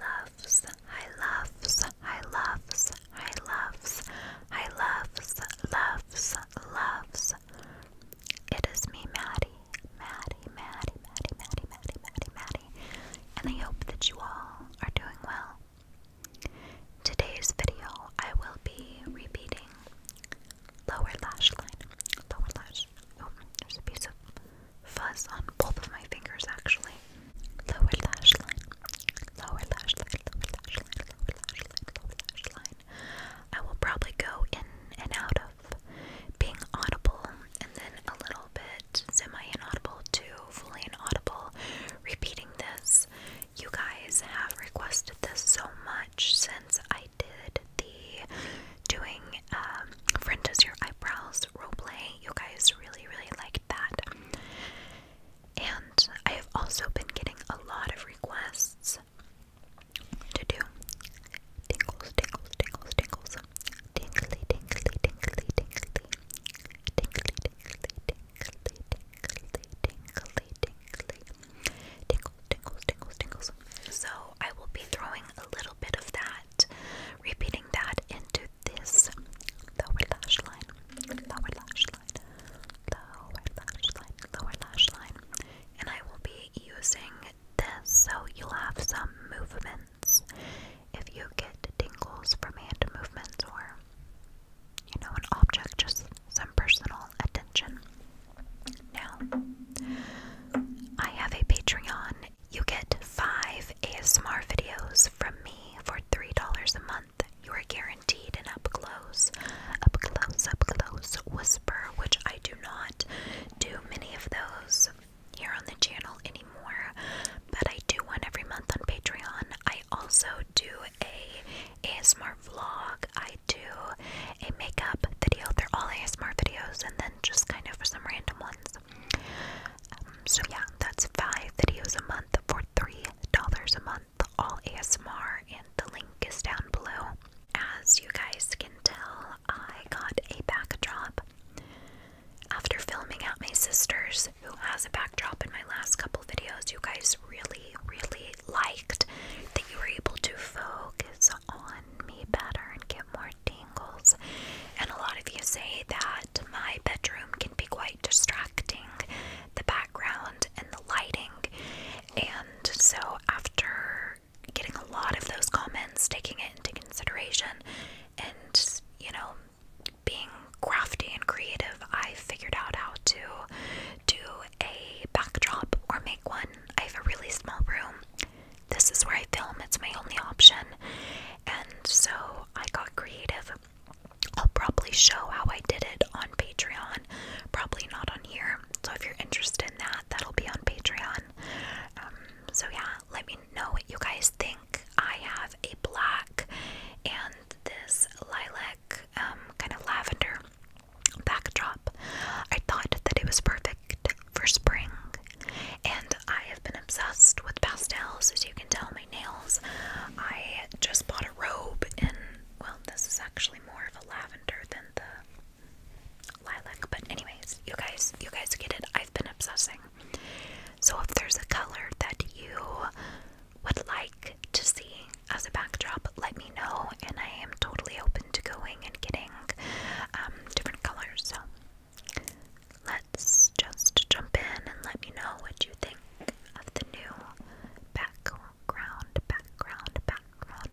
loves, I loves, I loves, I loves, I loves, loves, loves. It is me, Maddie, Maddie, Maddie, Maddie, Maddie, Maddie, Maddie, Maddie, and I hope that you all are doing well. Today's video, I will be repeating lower lash line, lower lash. Oh, there's a piece of fuzz on both of my fingers actually. Lower lash line, lower lash lower lash lower lash lower lash I will probably go in and out of being audible and then a little bit semi inaudible to fully inaudible, repeating this. You guys have requested this so much since I did the doing um, friend does your eyebrows roleplay you guys really, really liked that. And I have also been getting a lot of requests to do tingles, tingles, tingles, tingles, tingly, tingly, tingly, tingly, tingly, tingly, tingly, tingly, tingly, tingly, tingles, tingles, tingles, tingles. So I will be throwing a little bit of that repeating that into this lower lash line, lower lash line, lower lash line, lower lash line. And I will be using this so you'll have some movements. If you get tingles from hand movements or, you know, an object, just some personal attention. Now, I have a Patreon you get five ASMR videos from me for $3 a month. You are guaranteed an up close, up close, up close whisper, which I do not do many of those here on the channel anymore, but I do one every month on Patreon. I also do a ASMR vlog. I do a makeup video. They're all ASMR videos and then just kind of for some random ones. Um, so yeah, that's five videos a month for $3 a month, all ASMR, and the link is down below. As you guys can tell, I got a backdrop after filming at my sister's, who has a backdrop in my last couple videos. You guys really, really liked that you were able to focus on me better and give more tingles. And a lot of you say that my bedroom can be quite distracting, the background and the lighting. And so, after getting a lot of those comments, taking it into consideration, and you know, being crafty and creative, I figured out how to do a backdrop or make one. I have a really small room. This is where I film, it's my only option. And so I got creative. I'll probably show how I did it on Patreon, probably not on here. So if you're interested in that, that'll be on Patreon. Um, so yeah, let me know what you guys think. I have a black and this lilac, um, kind of lavender backdrop. I thought that it was perfect for spring, and I have been obsessed with pastels as you can tell my nails. I just bought a robe and well this is actually more of a lavender than the lilac but anyways you guys you guys get it I've been obsessing. So if there's a color that you would like to see as a backdrop let me know and I am totally open to going and getting um, different colors so Let's just jump in and let me know what you think of the new background, background, background.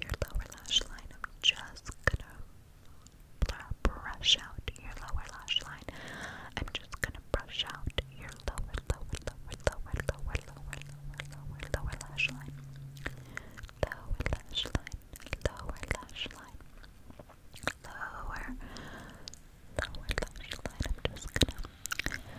your lower lash line. I'm just gonna brush out your lower lash line. I'm just gonna brush out your lower, lower, lower, lower, lower, lower, lower, lower, lash line. Lower lash line. Lower lash line. Lower, lower lash line. I'm just gonna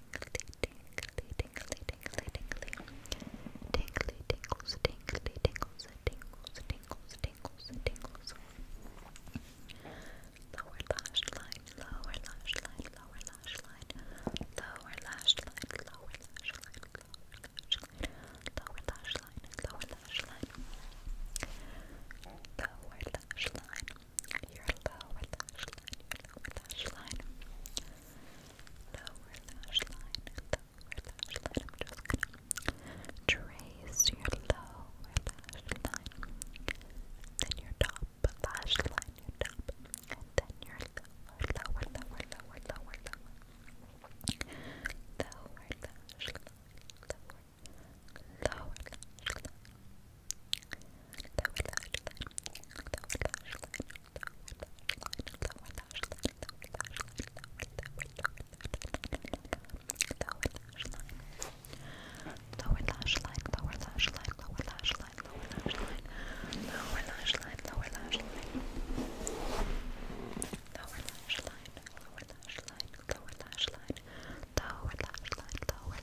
tingly, tingly, tingly, tingly, tingly, tingly, tingles, tingly, tingles, tingles, tingles, tingles, tingles. Lower lash line, lower lash line, lower lash line, lower lash line, lower lash line, lower lash line, lower lash line, lower lash line, lower lash line your lower lash line, your lower lash line, lower lash line, lower lash line. just gonna trace your lower lash line, then your top lash line, your top, and then your lower, lower, lower, lower, lower, lower, lower lower, lower Lower lash line, lower lash line, lower lash line, lower lash line, lower lash line, lower lash line, lower lash line, lower lash line, lower lash line, lower lash line, lower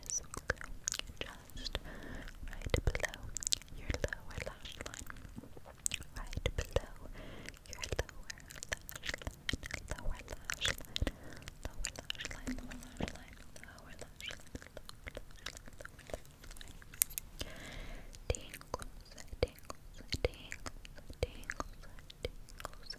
is just right below your lower lash line. Right below your lower lash line. Lower lash line. Lower lash line. Lower lash line. Lower Lower lash line. Tingles, tingles, tingles, tingles, tingles,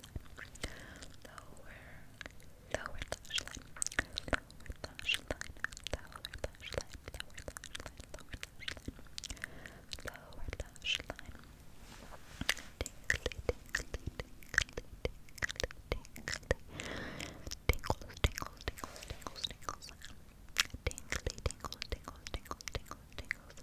lower, lower lash line, lower lash line, lower lash line, lower lash line, lower lash line, lower lash line. Tinkly, tinkly, tinkly, tinkly, tinkly, tingles, tingles, tingly, tingles, tingles, tingles, tingles, tingles. Tingles, tingles, tingles, tingles, tingles, tingles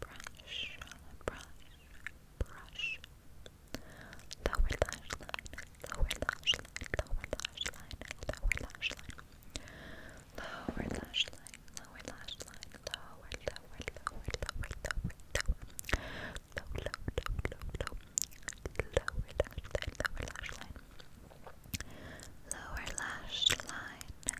brush, brush, brush. Lower lash line, lower lash line, lower lash line, lower lash line. Lower lash line, lower lash line, lower, lower, lower, lower, lower, lower. Low, low, low, low, low. Lower lash line, lower lash line. Lower lash line,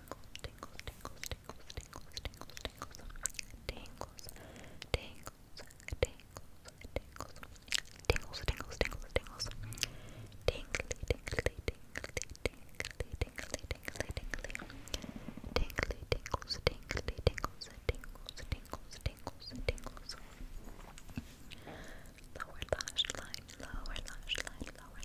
tingles, tingles, tingles, tingles, tingles, tingles, tingles, tingles, tingles, tingles, tingles, tingles, tingles, tingles, tingly, tingly, tingly, tingly, tingly, tingly, tingly, tingly, tingles, tingly, tingles, tingles, tingles, tingles, tingles. Lower lash line, lower lash line, lower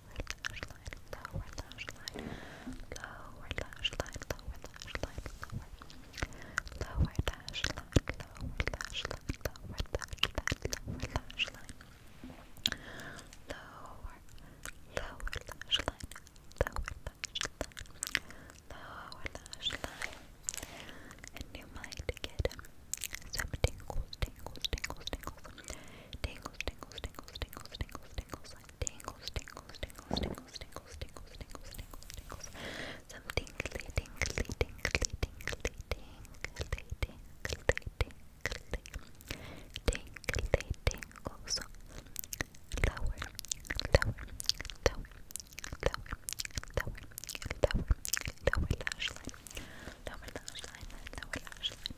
lash line, lower lash line, lower lash line, lower lash line, lower, lower lash line, lower lash line, lower lash line, lower lower, lash line, lower lash line, and you might get some tingles, tingles, tingles, tingles, tingles, tingles, tingles, tingles, tingles, tingles. I tingles, tingles, tingles, tingles, tingles, tingles, tingles, tingles, tingles, some tingly, tingly, tingly, tingly, tingly, tingly, tingly, tingly, tingles, lower, lower, lower, lower, lower, lower, lower lash line, lower lash line, lower lash line,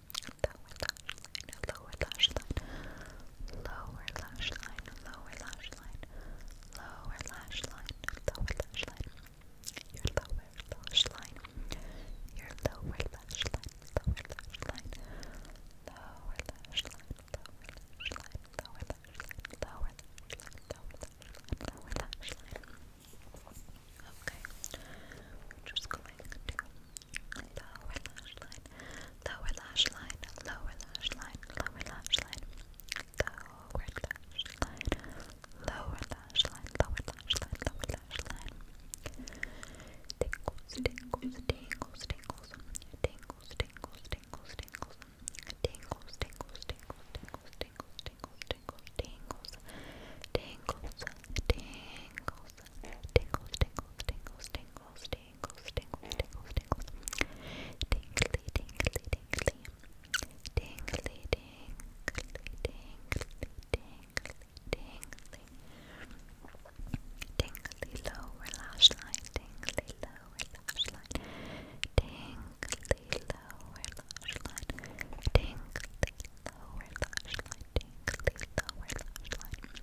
lower lash line, lower lash line, lower lash line, lower lash line, lower lash line, lower lash line, your lower lash line, your lower lash line, lower lash line, lower lash line, lower lash line, lower lash line, lower lash line, Okay, just going to lower lash line, lower lash line, lower lash line, lower lash line, lower lash line, lower lash line, lower lash line, lower lash line. Tingles, tingles, tingles, tingles, tingles, tingles, tingles, tingles, tingles, tingles, tingles, tingles, tingles, tingles, tingles, tingles, tingles, tingles, tingles, tingles, tingles, tingles, tingles, tingles, tingly, tingly, tingly, tingly, tingly, tingly, tingly, tingly, tingly lower lash line, tingly lower lash line, tingly lower lash line, tingly lower lash line, tingly lower lash line.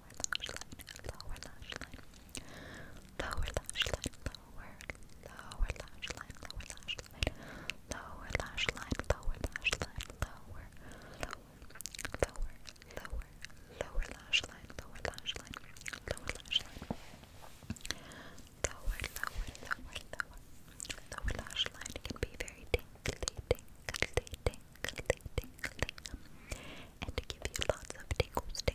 lower lash line, lower lash line, lower lash line, lower, lower lash line, lower lash line, lower lash line, lower lash line, lower, lower, lower, lower, lower lash line, lower lash line, lower lash line, lower, lower, lower, lower. Lower lash line can be very tingly, tingly, tingly, tingly, and give you lots of tingles,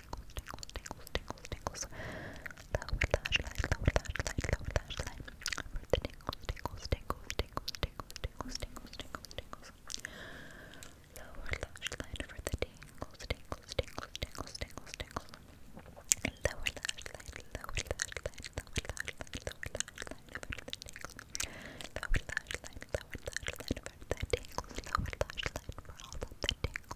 tingles, tingles, tingles, tingles, tingles. Lower lash line, lower lash line, lower lash line. For the tingles, tingles, tingles, tingles, tingles, tingles, tingles, tingles, tingles. Lower lash line for the tingles, tingles, tingles, tingles, tingles, tingles. Lower lash line, lower lash line, lower lash line, lower lash line for the line, for the tingles, lower lash line for all of the tingles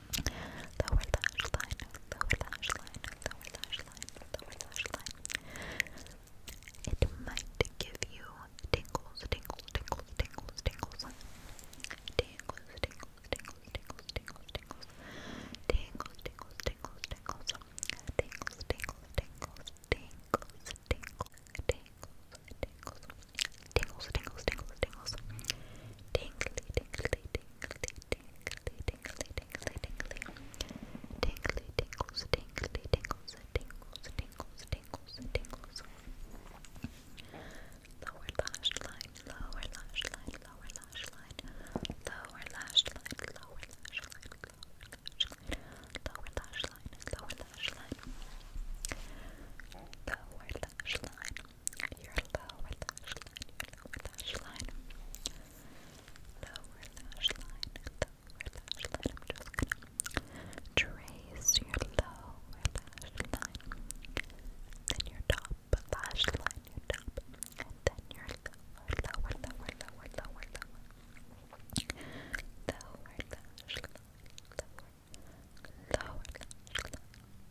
lower lash line, lower lash line, lower lash line, lower lash line. It might give you tingles, tingles, tingles, tingles, tingles, tingles, tingles, tingles, tingles, tingles, tingles, tingles, tingles, tingles, tingles, tingles, tingles, tingles, tingles, tingles. Tingles, tingles, tingles, tingles, tingles, tingly, tingly, tingly, tingly, tingly, tingly, tingly, tingly, tingly, tingles, tingly, tingles, tingles, tingles, tingles, tingles. Lower lash line, lower lash line, lower lash line, lower lash line, lower lash line, lower lash line, lower lash line, lower lash line, lower lash line, your lower lash line, your lower lash line, lower lash line, lower lash line. I'm just gonna trace your lower lash line, then your top lash line, your top, and then your lower, lower, lower, lower, lower, lower, lash line, lower, Lower lash line,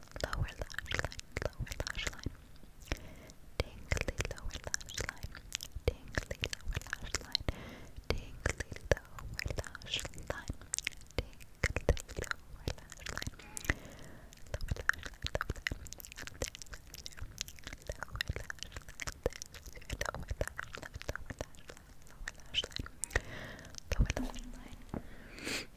lower lash line, lower lash line, tingly lower lash line, tingly lower lash line, tingly lower lash line, tingly lower lash line, lower lash line, lower lash line, lower lash line, lower lash line, lower lash line, lower lash line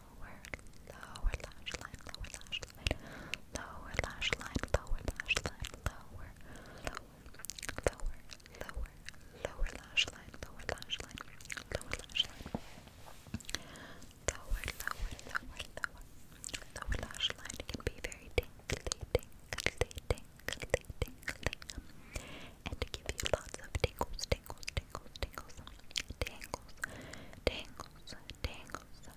lower, lower lash line, lower lash line, lower lash line, lower lash line, lower, lower, lower, lower, lower lash line, lower lash line, lower lash line, lower, lower, lower, lower, lower lash line can be very tingly, tingly, tingly, tingly, and give you lots of tingles, tingles, tingles, tingles, tingles, tingles, tingles,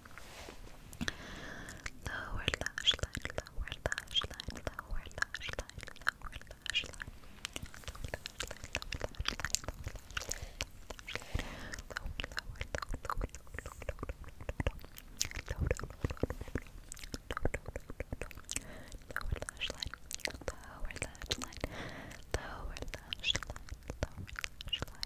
Lower lash line, lower lash line, lower lash line, lower lash line. Lower lash line, lower lash line, lower lash line, lower lash line,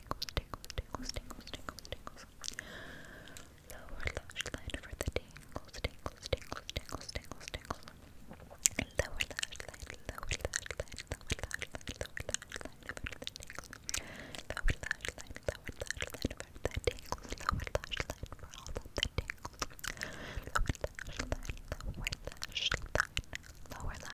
tingles, tingles, tingles, tingles, tingles, tingles. Lower lash line for the tingles, tingles, tingles, tingles, tingles, tingles. Lower lash line, lower lash line, lower lash line, lower lash line Lower lash line, lower lash line for the tingles. Lower lash line for all the tingles. Lower lash line, lower lash line, lower lash